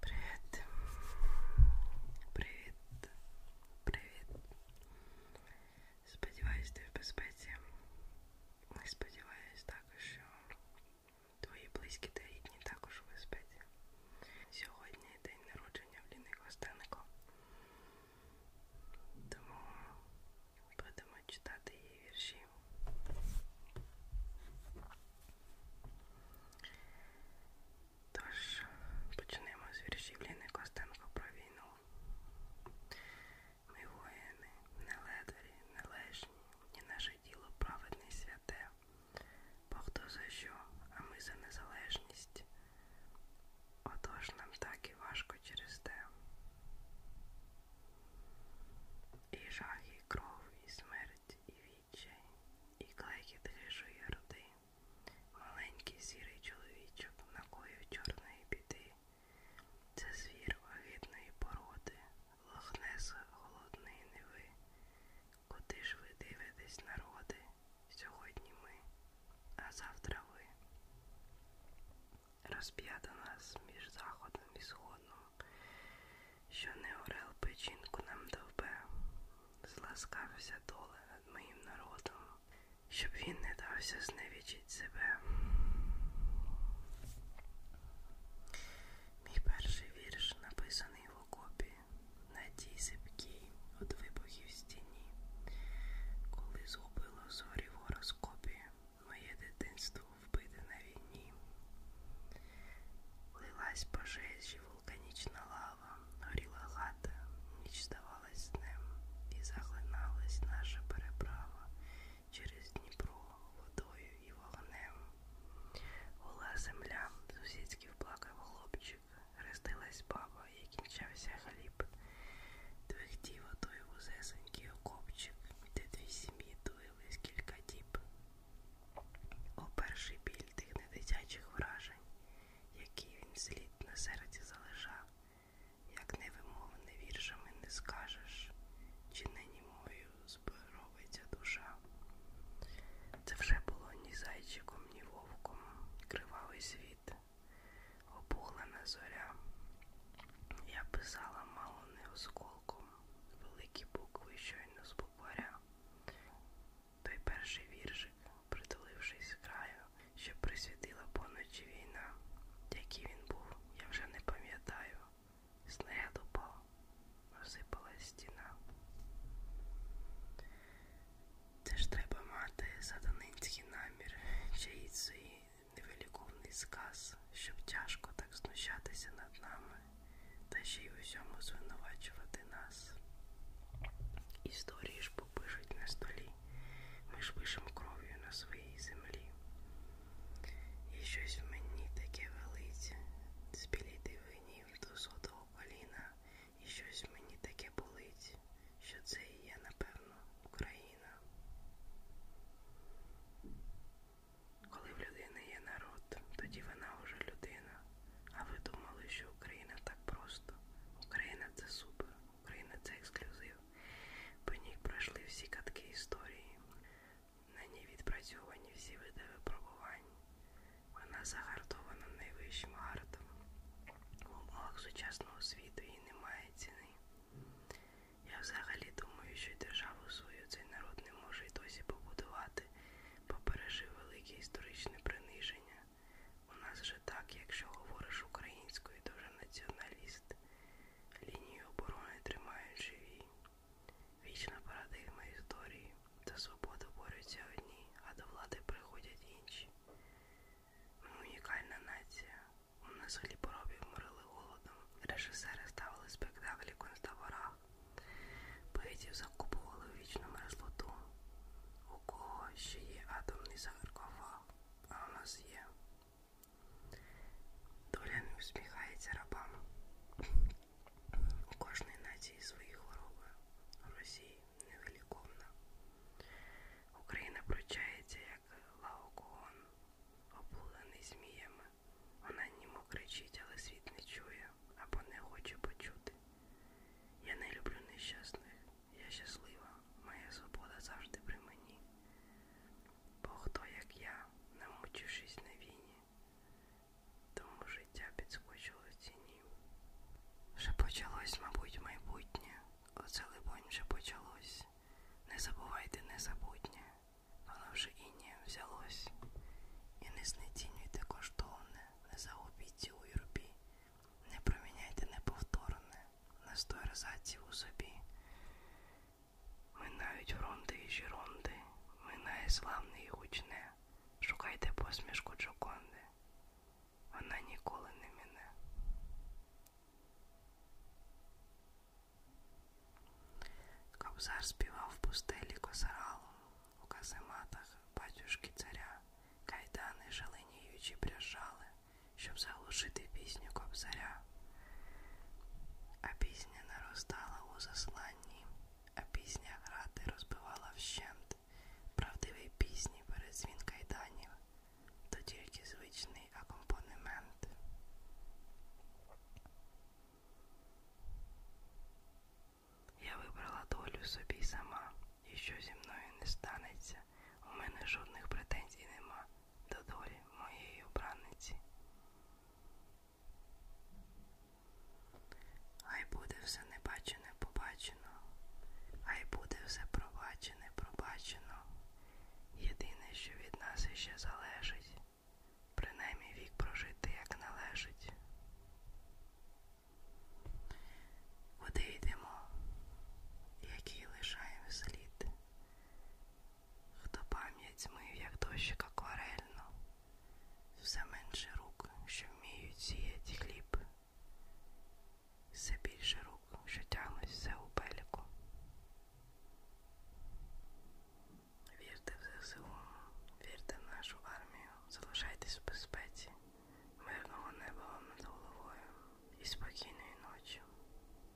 Привіт. Привіт. Привіт. Сподіваюсь, ти в безпеці. І сподіваюсь також, що твої близькі та рідні також у безпеці. Сьогодні день народження в Ліни Костенко. Тому будемо читати її вірші. Тож, почнемо з віршів Ліни Костенко про війну. Ми воїни, не ледарі, не лежні, і наше діло праведне і святе. Бо хто за що, а ми за незалежність. Отож нам так і важко через те. І жах, і кров, і смерть, і відчай, і клекіт грішої роди, маленький сірий чоловічок, накоїв чорної біди. Це звір вагітної породи, лохнеса голодної неви. Куди ж ви дивитесь, народи? Сьогодні ми, а завтра ви розп'ята нас між заходом і сходом, що не орел печінку нам довбе, зласкався доле над моїм народом, щоб він не дався зневічить себе. Мій перший вірш написаний в окопі на тій зипкій від вибухів стіні, коли згубило зорі в гороскопі моє дитинство вбите на війні. Лилась пожежі, вулканічна лава, горіла хата, ніч здавалась днем, і заглиналась наша переправа через Дніпро водою і вогнем. Гула земля, сусідський плакав хлопчик, хрестилась баба і кінчався хліб. Твердів отой вузесенький окопчик, де дві сім'ї тулились кілька діб. О перший біль тих недитячих вражень, які він слід на серці залежав, як невимовне віршами не скажеш, чи нині мою зборовиться душа. Це вже було ні зайчиком, ні вовком, кривавий світ, обулена зоря. Я писала мало не осколком, великі букви щойно з букваря. Той перший віршик, притулившись краю, що присвітила поночі війна. Який він був, я вже не пам'ятаю. Снаряд упав, розсипалась стіна. Теж треба мати сатанинські наміри, чиїцей невеликовний сказ, щоб тяжко так знущатися над нами та ще й у всьому звинувачувати нас. Історії ж попишуть на столі, ми ж пишемо кров'ю на своїй землі. І щось в мені таке велике, спіліти винів до сотого коліна. І щось мені таке болить, що це і є, напевно, Україна. Коли в людини є народ, тоді вона вже людина. А ви думали, що Україна так просто? Україна це супер, Україна це ексклюзив. По ній пройшли всі катки історії. На ній відпрацьовані всі види випробувань. Вона загартована найвищим гартом в умовах сучасного світу їй немає ціни. Я взагалі думаю, що державу свою цей народ не може й досі побудувати, бо пережив велике історичне приниження. У нас же так, якщо говориш українською, то вже націоналіст, лінію оборони тримають живі. Вічна парадигма історії. За свободу борються одні, а до влади приходять інші. Ми унікальна нація. У нас хліборобів морили голодом. Режисери ставили спектаклі в концтаборах. Поетів закупували в вічну мерзлоту. У кого ще є атомний саркофаг, а у нас є. Доля не усміхається рабам. У кожної нації свої хвороби. У Росії невеликовна. Україна пручається, як лаокон, облулений зміями. Вона німо кричить, але світ не чує або не хоче почути. Я не люблю нещасних, я щаслива, моя свобода завжди при мені. Бо хто, як я, намучившись на війні, тому життя підскочило в ціні. Вже почалось, мабуть, майбутнє, оце, либонь, вже почалось. Не забувайте незабутнє, воно вже інє взялось. І не знецінюйте коштовне, не загубіть у юрбі, не проміняйте неповторне, на сто разаців у собі. Минають фронти і жіронди, минає славне і гучне, Шукайте посмішку Джоконди. Вона ніколи не мине. Кобзар співав в пустелі косаралу у казематах батюшки царя. Кайдани шаленіючі бряжали, щоб заглушити пісню кобзаря. А пісня наростала у засланні а пісня грати розбивала вщент правдивий пісні передзвін кайданів, то тільки звичний акомпанемент. Я вибрала долю собі сама, і що зі мною не станеться, у мене жодних претензій нема до долі моєї обранниці. Хай буде все небачене побачено, хай буде все пробачене, пробачено. Єдине, що від нас іще залежить, принаймні вік прожити як належить. Куди йдемо, який лишаємо слід, хто пам'ять мив, як дощик акварельно, все менше рук, що вміють сіяти хліб, все більше рук, що тягнуть все у пеліку. Вірте в ЗСУ, вірте в нашу армію, залишайтесь в безпеці, мирного неба вам над головою і спокійної ночі.